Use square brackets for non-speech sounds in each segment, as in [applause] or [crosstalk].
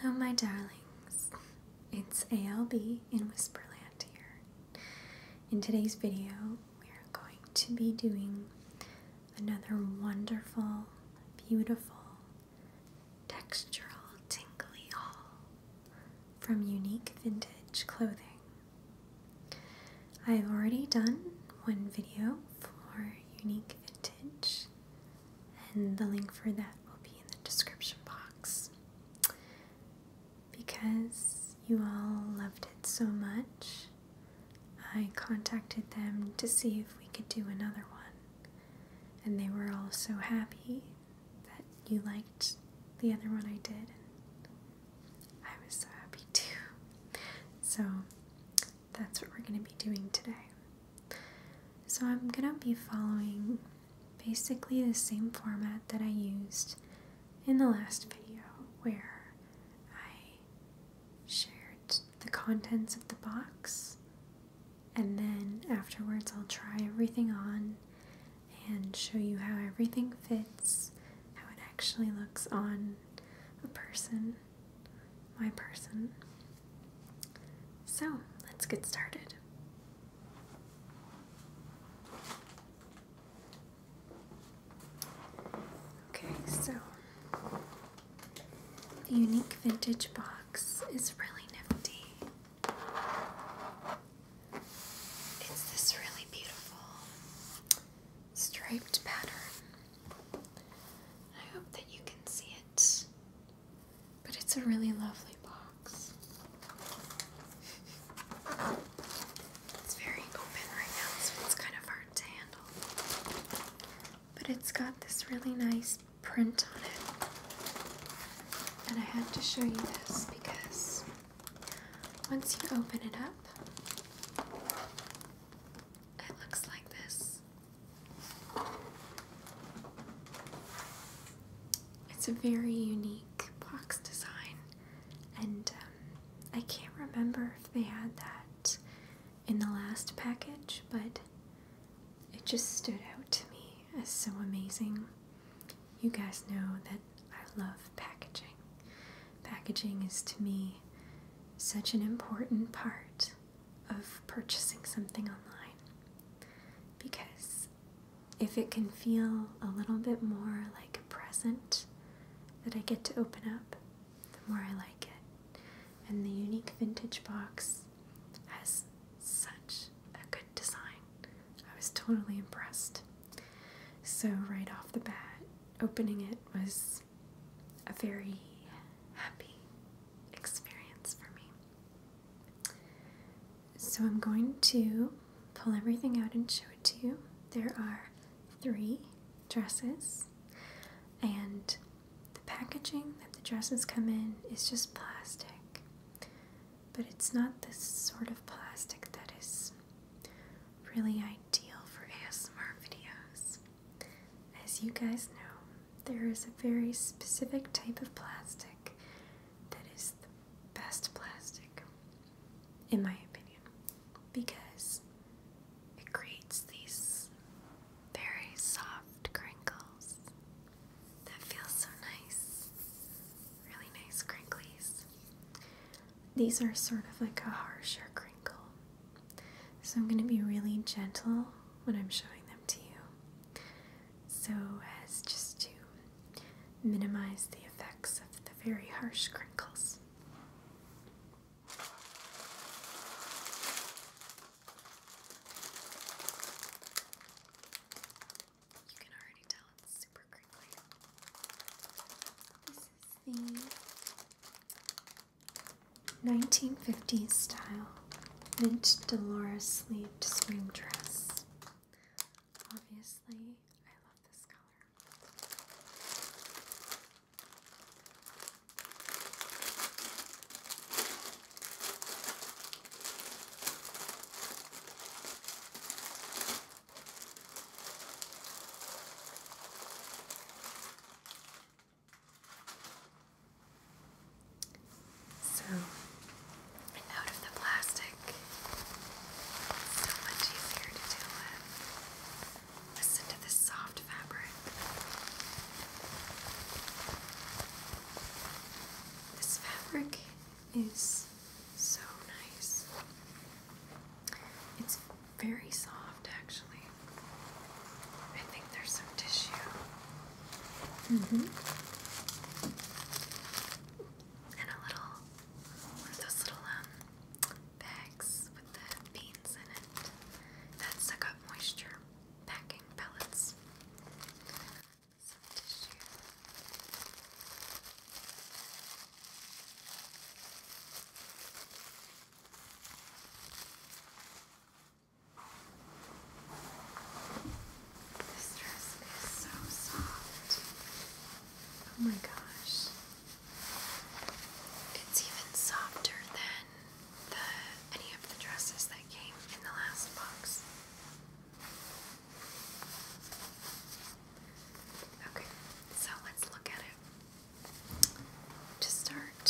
Hello, my darlings. It's ALB in Whisperland here. In today's video, we are going to be doing another wonderful, beautiful, textural, tingly haul from Unique Vintage Clothing. I've already done one video for Unique Vintage, and the link for that will be in the description box. Because you all loved it so much, I contacted them to see if we could do another one. And they were all so happy that you liked the other one I did. And I was so happy too. So that's what we're going to be doing today. So I'm going to be following basically the same format that I used in the last video where I shared the contents of the box and then afterwards I'll try everything on and show you how everything fits, how it actually looks on a person my person. So let's get started. Okay, so the unique vintage box is really nifty. It's this really beautiful striped pattern. I hope that you can see it but it's a really lovely box. It's very open right now, so it's kind of hard to handle. But it's got this really nice print on it. And I have to show you this because once you open it up, it looks like this. It's a very unique box design, and um, I can't remember if they had that in the last package, but it just stood out to me as so amazing. You guys know that I love packaging. Packaging is to me such an important part of purchasing something online because if it can feel a little bit more like a present that I get to open up, the more I like it. And the unique vintage box has such a good design. I was totally impressed. So, right off the bat, opening it was a very happy experience for me. So I'm going to pull everything out and show it to you. There are three dresses, and the packaging that the dresses come in is just plastic. But it's not the sort of plastic that is really ideal for ASMR videos. As you guys know, there is a very specific type of plastic that is the best plastic, in my opinion, because it creates these very soft crinkles that feel so nice, really nice crinkles. These are sort of like a harsher crinkle so I'm going to be really gentle when I'm showing them to you so as just to minimize the effects of the very harsh crinkles. You can already tell it's super crinkly. This is 1950s style mint Dolores sleeved swing dress. Obviously, I love this color. So, out of the plastic, so much easier to deal Listen to this soft fabric. This fabric is so nice. It's very soft actually. I think there's some tissue. hmm And a little those little um bags with the beans in it that suck up moisture. Packing pellets. Some tissue. This dress is so soft. Oh my gosh. It's even softer than the any of the dresses that came in the last box. Okay, so let's look at it to start,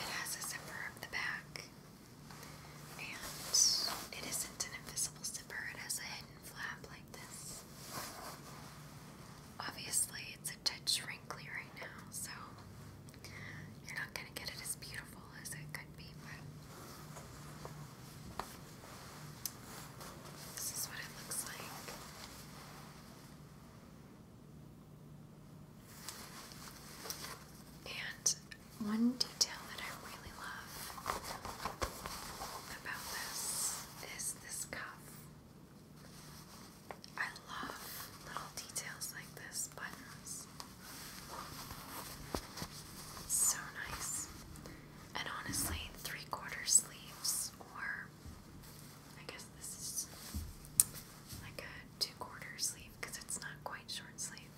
it has a zipper up the back, and it isn't an invisible zipper, it has a hidden flap like this. Obviously, it's a touch wrinkly right now, so you're not going to get it as beautiful as it could be, but this is what it looks like. And one detail that I really love about this is this cuff. I love little details like this, buttons. So nice. And honestly, three quarter sleeves or I guess this is like a two quarter sleeve because it's not quite short sleeve.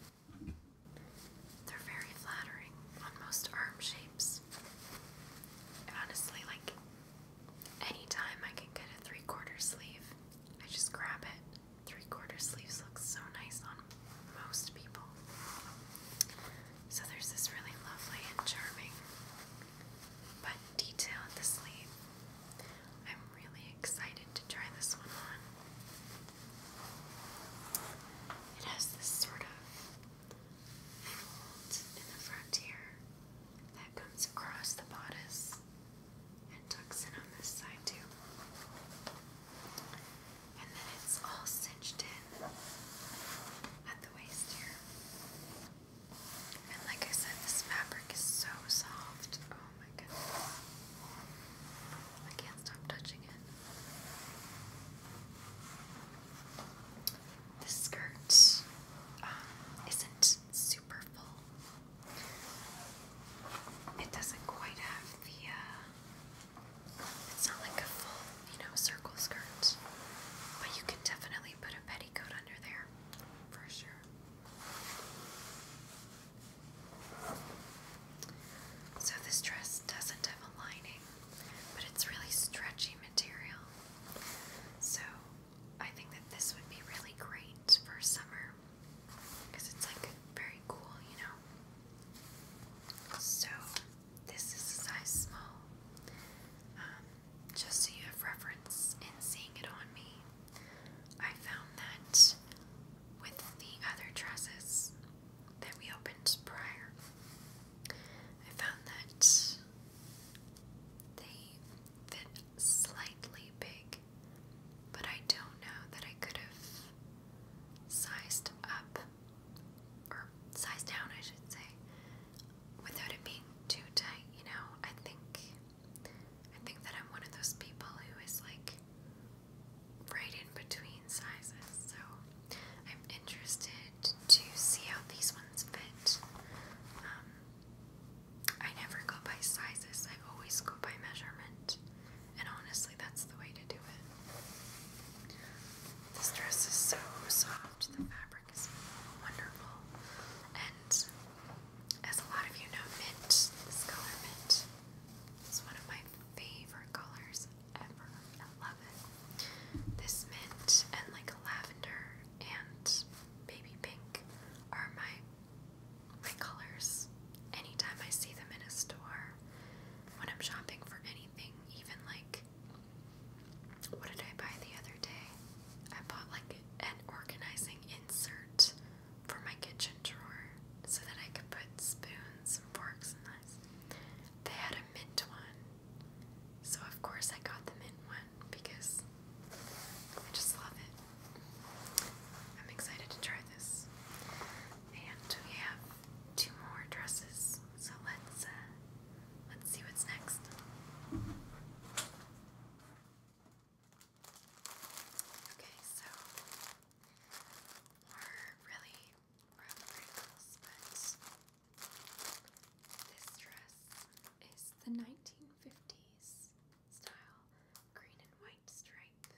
They're very flattering on most arm shapes. Honestly, like anytime I can get a three quarter sleeve, I just grab it. Three quarter sleeves look so nice on most people. So there's this really lovely and charming but detailed the sleeve. I'm really excited to try this one on. It has this sort of fold in the front here that comes across the bodice and tucks in on this side too. And then it's all cinched in at the waist here. And like I said, this fabric is so soft. Oh my god, I can't stop touching it. This skirt um, isn't super full. It doesn't quite have the, uh, it's not like a full, you know, circle skirt. But you can definitely put a petticoat under there for sure. So this dress doesn't have a lining, but it's really stretchy material. So I think that this would be really great for summer because it's like very cool, you know. So this is a size small. Um, just so you have reference in seeing it on me. I found that with the other dresses that we opened prior, I found that they fit slightly big, but I don't know that I could have sized up or size down, I should say, without it being too tight. You know, I think, I think that I'm one of those people who is like right in between sizes. So I'm interested to see how these ones fit. Um, I never go by sizes. I always go by measurement. And honestly, that's the way to do it. This dress is so soft, the fabric wonderful. And as a lot of you know, mint, this color mint, is one of my favorite colors ever. I love it. This mint and like lavender and baby pink are my my colors. Anytime I see them in a store, when I'm shopping for anything, even like what did I buy the other day? I bought like an organizing insert for my kitchen drawer so that I could put spoons and forks and knives. They had a mint one. So of course I got the mint one because I just love it. I'm excited to try this. And we have two more dresses. So let's uh, Let's see what's next. Okay, so we're really rough but this dress is the 1950s style green and white stripe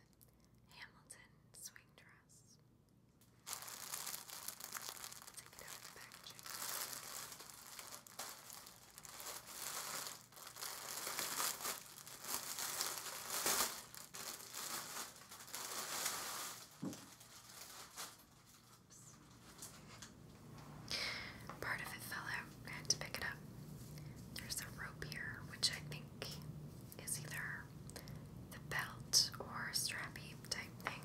Hamilton swing dress. Take it Part of it fell out. I had to pick it up. There's a rope here, which I think is either the belt or strappy type thing.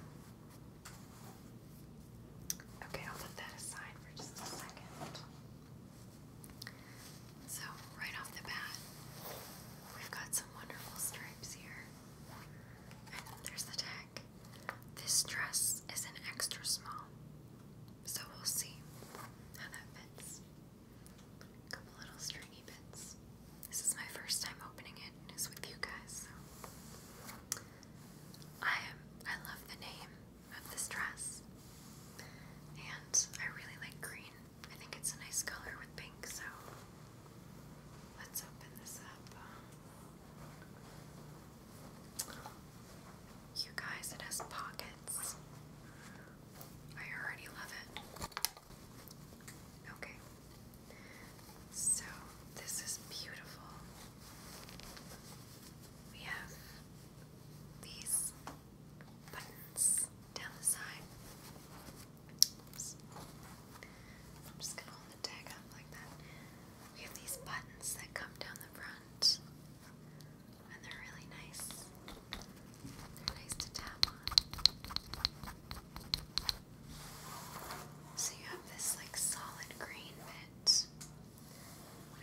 Okay, I'll put that aside for just a second. So, right off the bat, we've got some wonderful stripes here. And there's the tag. This dress is an extra small. So, we'll see how that fits. A couple little stringy bits. This is my first time opening it, and it's with you guys. So. I am. I love the name of this dress, and I really like green. I think it's a nice color with pink. So let's open this up. You guys, it has pockets. I already love it. Okay. So, this is beautiful. We have these buttons down the side. I'm just gonna hold the tag up like that. We have these buttons that come down the front, and they're really nice. They're nice to tap on. So you have this like solid green bit,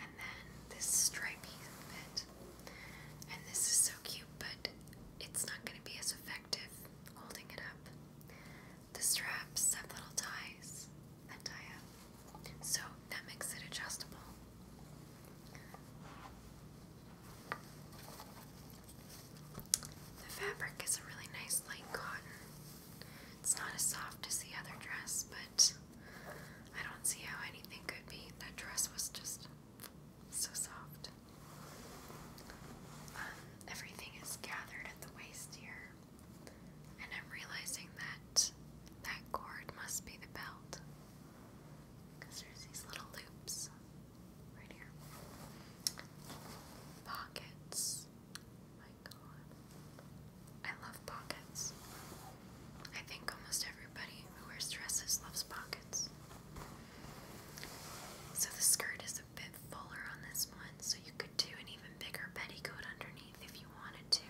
and then this stripy bit. And this is so cute, but it's not going to be as effective holding it up. The straps have little ties that tie up, so that makes it adjustable. The fabric is a really nice light cotton. It's not as soft as the other dress, but I don't see how anything could be. That dress was just so soft. Um, everything is gathered at the waist here, and I'm realizing that that cord must be the belt because there's these little loops right here. Pockets. My God, I love pockets. I think almost everybody who wears dresses loves pockets. So the skirt is a bit fuller on this one, so you could do an even bigger petticoat underneath if you wanted to.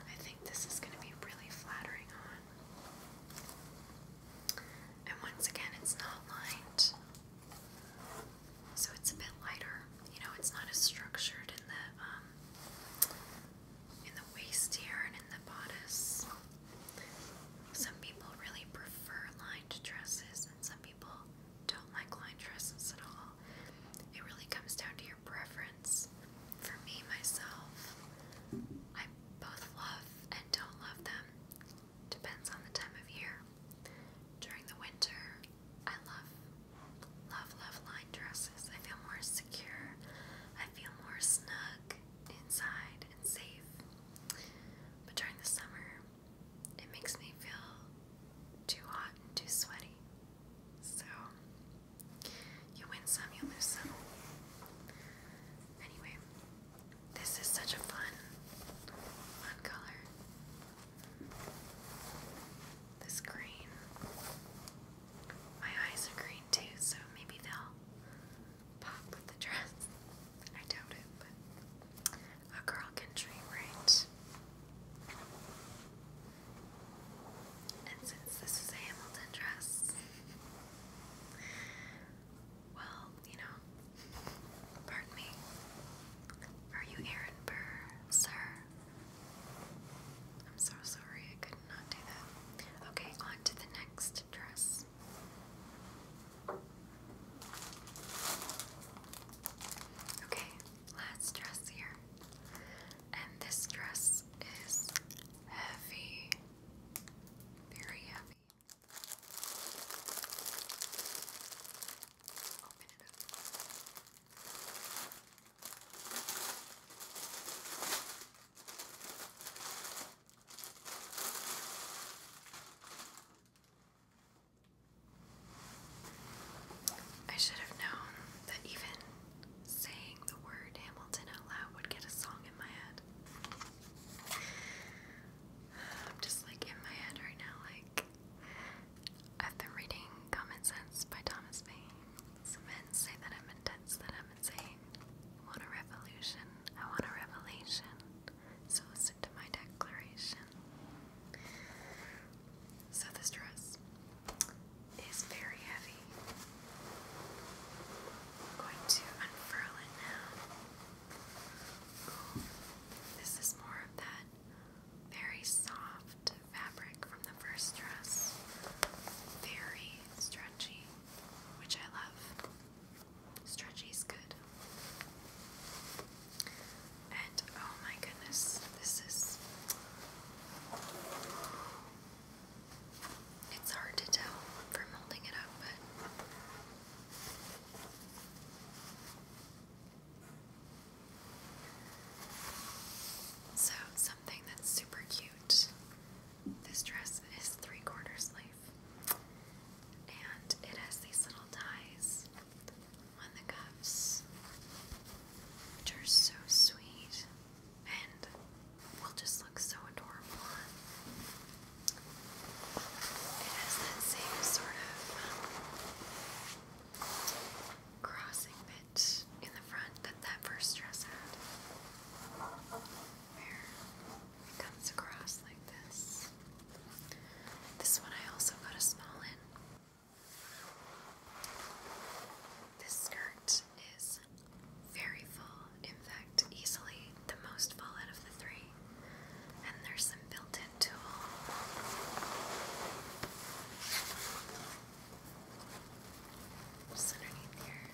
I think this is going to be really flattering on. And once again, it's not lined, so it's a bit lighter. You know, it's not as structured in the um, in the waist here and in the bodice. Some people really prefer lined dresses, and some people don't like lined dresses at all. It really comes down to your preference. For me, myself, I both love and don't love them. Depends on the time of year. During the winter, I love, love, love line dresses. I feel more secure. I feel more snug inside and safe. But during the summer, it makes me feel too hot and too sweaty. So you win some, you lose some. Anyway, this is such a fun, fun color. This green. My eyes are green too, so maybe they'll pop with the dress. [laughs] I doubt it, but a girl can dream, right? And since this is a Hamilton dress, well, you know, pardon me. Are you Aaron Burr, sir? I'm so sorry, I could not do that. Okay, on to the next dress. Okay, last dress here. And this dress is heavy. Very heavy. I should have known that even saying the word Hamilton out loud would get a song in my head. I'm just like in my head right now, like I've been reading Common Sense by Thomas Paine. Some men say that I'm intense, that I'm insane. want a revolution, I want a revelation. So listen to my declaration. So this dress is very heavy. I'm going to unfurl it now. this is more of that very soft fabric from the first dress. Very stretchy, which I love. Stretchy is good. And oh my goodness, this is it's hard to tell from holding it up, but. So, something that's super cute. This dress is three quarter sleeve, and it has these little ties on the cuffs, which are so sweet. And will just look so adorable It has that same sort of um, crossing bit in the front that that first dress had. it comes across like this. This one I also got a small in. This skirt is very full, in fact, easily the most full out of the three. And there's some built in tool. underneath here.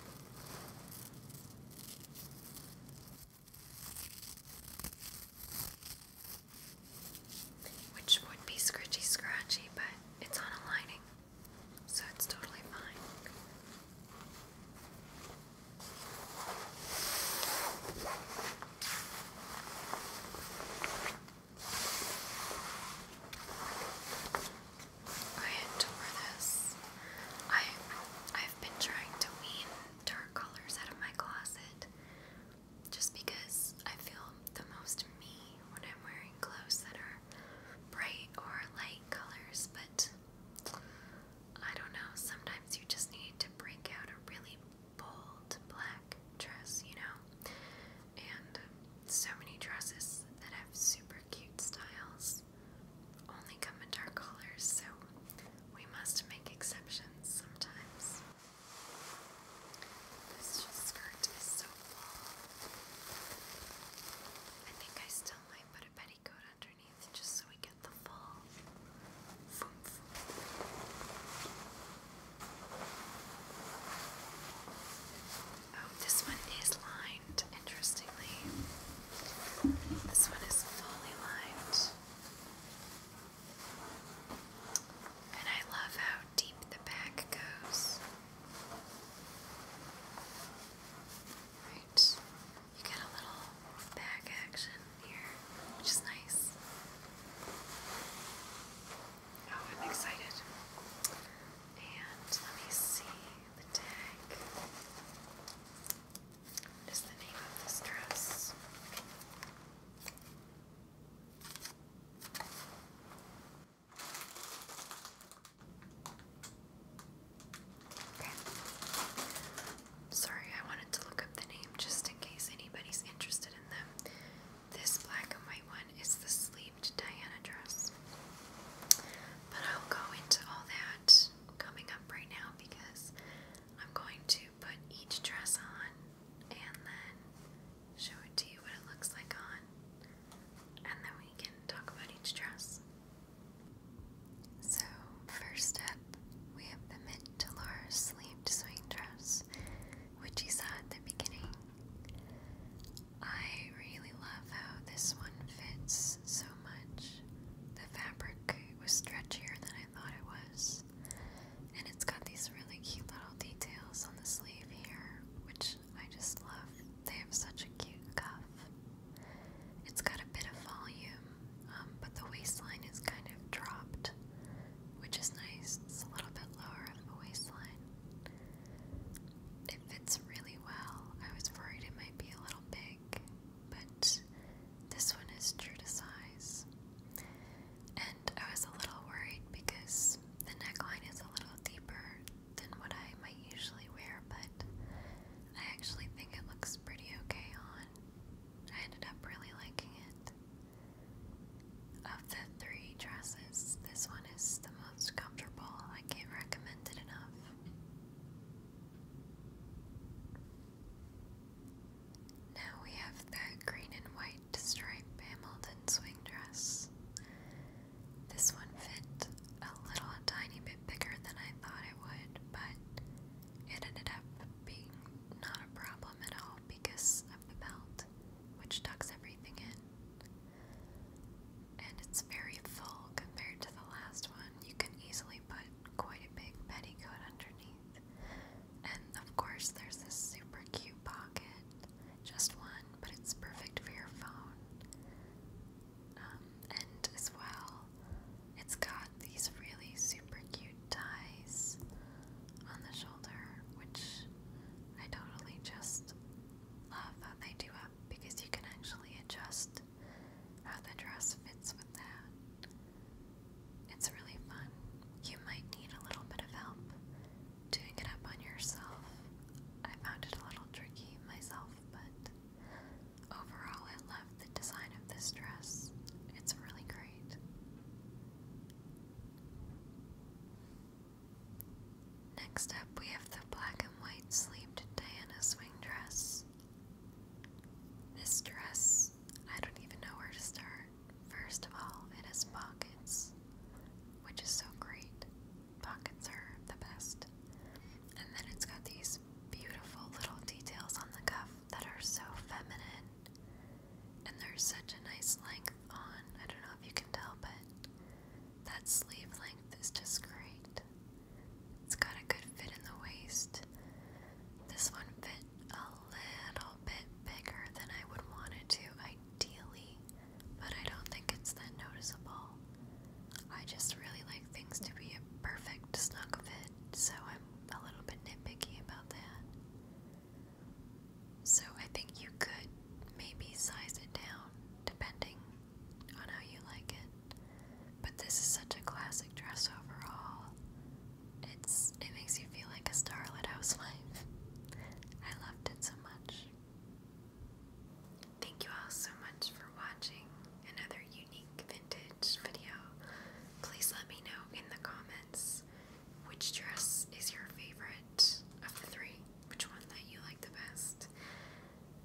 Which would be scritchy scratchy, but it's on a lining. So it's totally fine. I adore this. I I've been trying to wean dark colors out of my closet just because I feel the most me when I'm wearing clothes that are bright or light colors, but I don't know, sometimes you just need to break out a really bold black dress, you know? And so many dresses that have super cute styles only come in dark colors, so we must make exceptions sometimes. This skirt is so I think I still might put a petticoat underneath just so we get the full Oh, this one is lined, interestingly. This one is fully lined. And I love how deep the back goes. Right, you get a little back action here, which is nice. Oh, I'm excited. And let me see the tag. What is the name of this dress? Sorry, I wanted to look up the name just in case anybody's interested in them. This black and white one is the sleeved Diana dress. But I'll go into all that coming up right now because I'm going to put each dress on and then show it to you what it looks like on, and then we can talk about each dress. So, first up, we have the mid to large sleeved swing dress, which you saw at the beginning. I really love how this one fits so much. The fabric was stretchier than I thought it was, and it's got these really cute little details on the sleeve here, which I just love. They have such a cute cuff. It's got a bit of volume, um, but the waistline is kind of dropped, which is nice. It's a little bit lower on the waistline. It fits really well. I was worried it might be a little big, but this one is true to size. And I was a little worried because the neckline is a little deeper than what I might usually wear, but I actually think it looks pretty okay on. I ended up really liking it. Of the three dresses, this one is the most comfortable. I can't recommend it enough. Now we have that green and white striped Hamilton swing dress. This one fit a little tiny bit bigger than I thought it would, but it ended up being not a problem at all because of the belt, which tucks everything in. And it's very full compared to the last one. You can easily put quite a big petticoat underneath. And of course, there's this super cute pocket just one, but it's perfect for your phone. Um, and as well, it's got these really super cute ties on the shoulder, which I totally just love that they do up because you can actually adjust how the dress fits with that. It's really fun. You might need a little bit of help doing it up on yourself, I found it a little tricky myself, but overall, I love the design of this dress. It's really great. Next up, we have the black and white sleeved Diana swing dress. This dress, I don't even know where to start. First of all, it has pockets, which is so great. Pockets are the best. And then it's got these beautiful little details on the cuff that are so feminine. And there's such a nice length on. I don't know if you can tell, but that sleeve length is just great. It's got a good fit in the waist. This one fit a little bit bigger than I would want it to, ideally but I don't think it's that noticeable. I just really like things to be a perfect snug fit, so I'm a little bit nitpicky about that. So I think you could maybe size it down depending on how you like it. But this is such a classic dress overall. It's it makes you feel like a starlit housewife. I loved it so Thank you all so much for watching another unique vintage video. Please let me know in the comments which dress is your favorite of the three, which one that you like the best.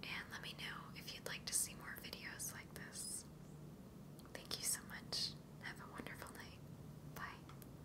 And let me know if you'd like to see more videos like this. Thank you so much. Have a wonderful night. Bye.